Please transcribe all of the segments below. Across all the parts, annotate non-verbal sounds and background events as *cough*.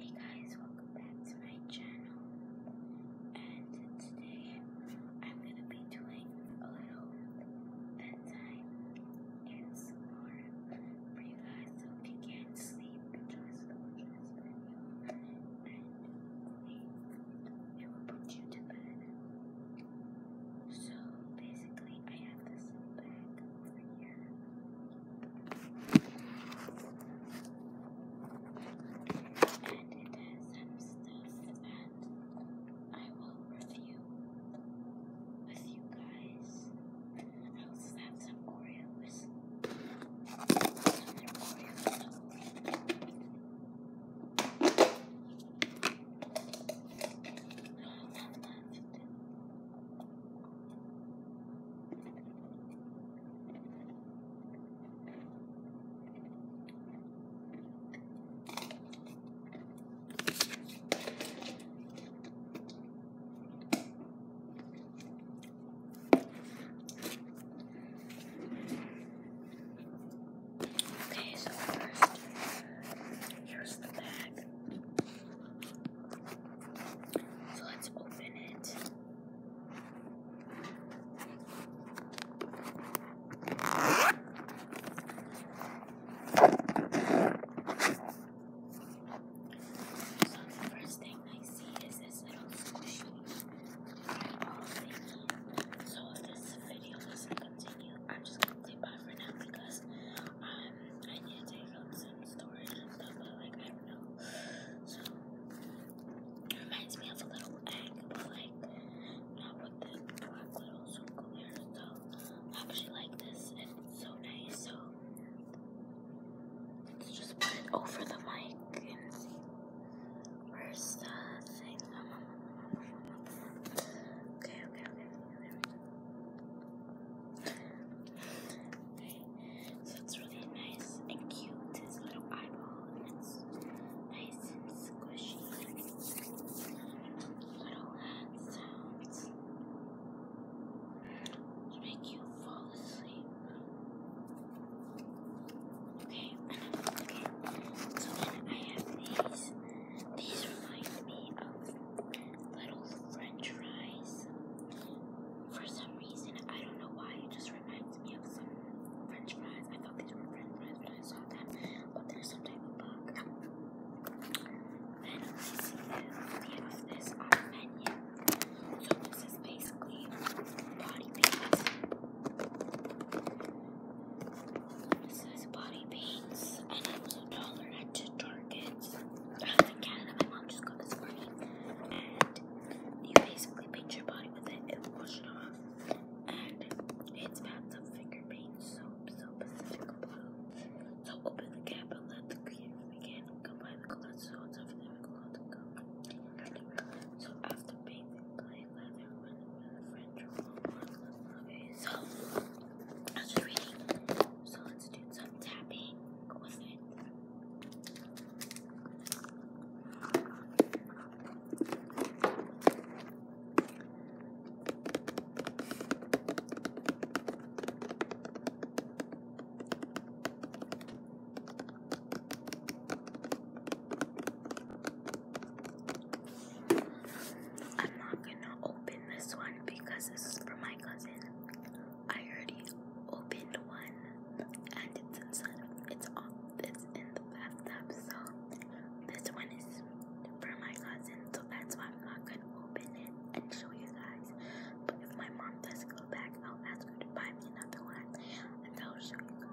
Hey guys, welcome back to my channel. And today I'm going to be doing a little bedtime ASMR for you guys. So if you can't sleep, just watch this video and It will put you to bed. So basically, I have this bag over here. And it has some stuff that I will review with you guys. I also have some Oreos. Another Okay, so first, here's the bag. So let's open it. So the first thing I see is this little squishy So if this video doesn't continue, I'm just gonna take off for now because I need to take out some storage and stuff, but like, I don't know. So, it reminds me of a little egg, but like, not with the black little circle there. So, I actually like this, and it's so nice. So, let's just put it over the mic and see. Where's the thing? Okay, okay, okay. Okay, so it's really nice and cute. His little eyeball, and it's nice and squishy. Little sounds make you fall asleep. Okay, okay. So then I have these. These remind me of little french fries. For some reason, I don't know why, it just reminds me of some french fries. I thought these were french fries but I saw them, but there's some type of bug. Then I see they have this on the menu. So this is basically body paint. This is body paints, and I don't to Target's. I uh, was in Canada, my mom just got this for me. you basically paint your body with it, it wash it off. And it's pads finger paint, soap, so Pacific So open the cap and let the creative begin. Combine the colors so after painting, play leather with a French roll on the So. I So let's do some tapping with it. I'm not gonna open this one because this is for my cousin. I already opened one and it's inside of it's all it's in the bathtub so this one is for my cousin so that's why I'm not gonna open it and show you guys. But if my mom does go back I'll ask her to buy me another one and I'll show you guys.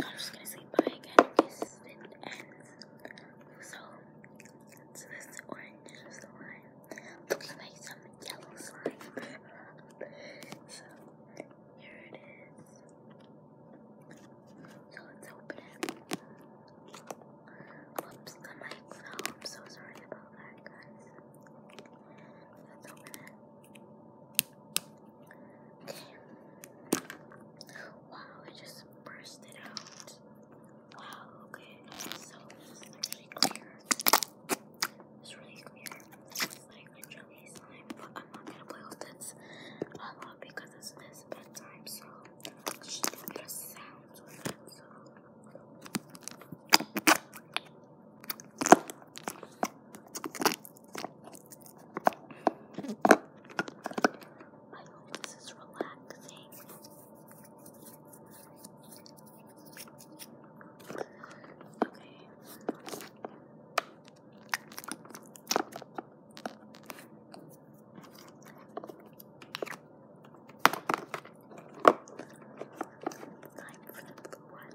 So I'm just gonna say bye again in case it ends. So, so this orange slime. Looks like some yellow slime. *laughs* so here it is. So let's open it. Whoops, the mic fell. I'm so sorry about that guys. Let's open it. Okay. Wow, it just bursted out. Wow, okay. So this actually clear. It's really clear. I'm not gonna play with this a uh, lot because it's this bedtime, so I'll do a bit I hope this is relaxing. Okay. Time for the blue one.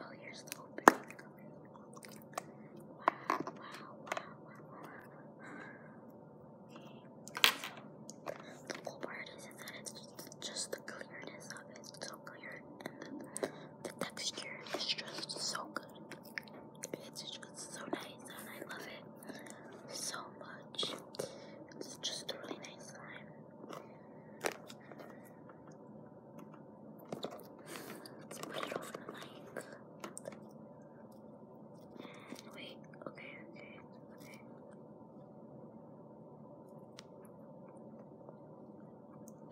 Oh, you're opening of it. Wow, wow, wow, wow, wow. So, the cool part is that it's just the clearness of it. so clear. And the, the texture is just so good. It's just so nice and I love it so much. It's just a really nice slime. Let's put it over the mic. Wait, okay, okay, okay.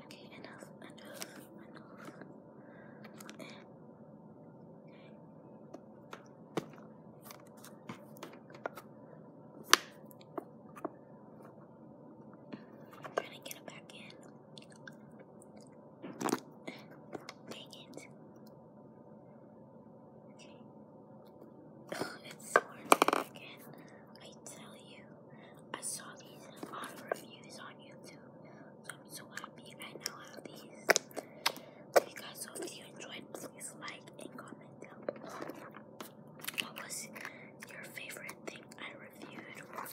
Okay, enough, enough, enough. Okay. Okay i trying to get it back in. Dang it. Okay. Oh, it's so hard to get again. I tell you, I saw these in reviews on YouTube, so I'm so happy I now have these. So guys, if you enjoyed, please like and comment down below. What was your favorite thing I reviewed or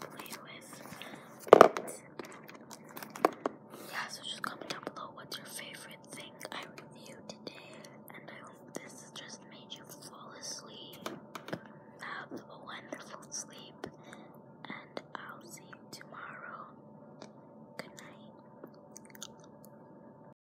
so just comment down below what's your favorite thing I reviewed today. And I hope this just made you fall asleep. Have a wonderful sleep. And I'll see you tomorrow. Good night.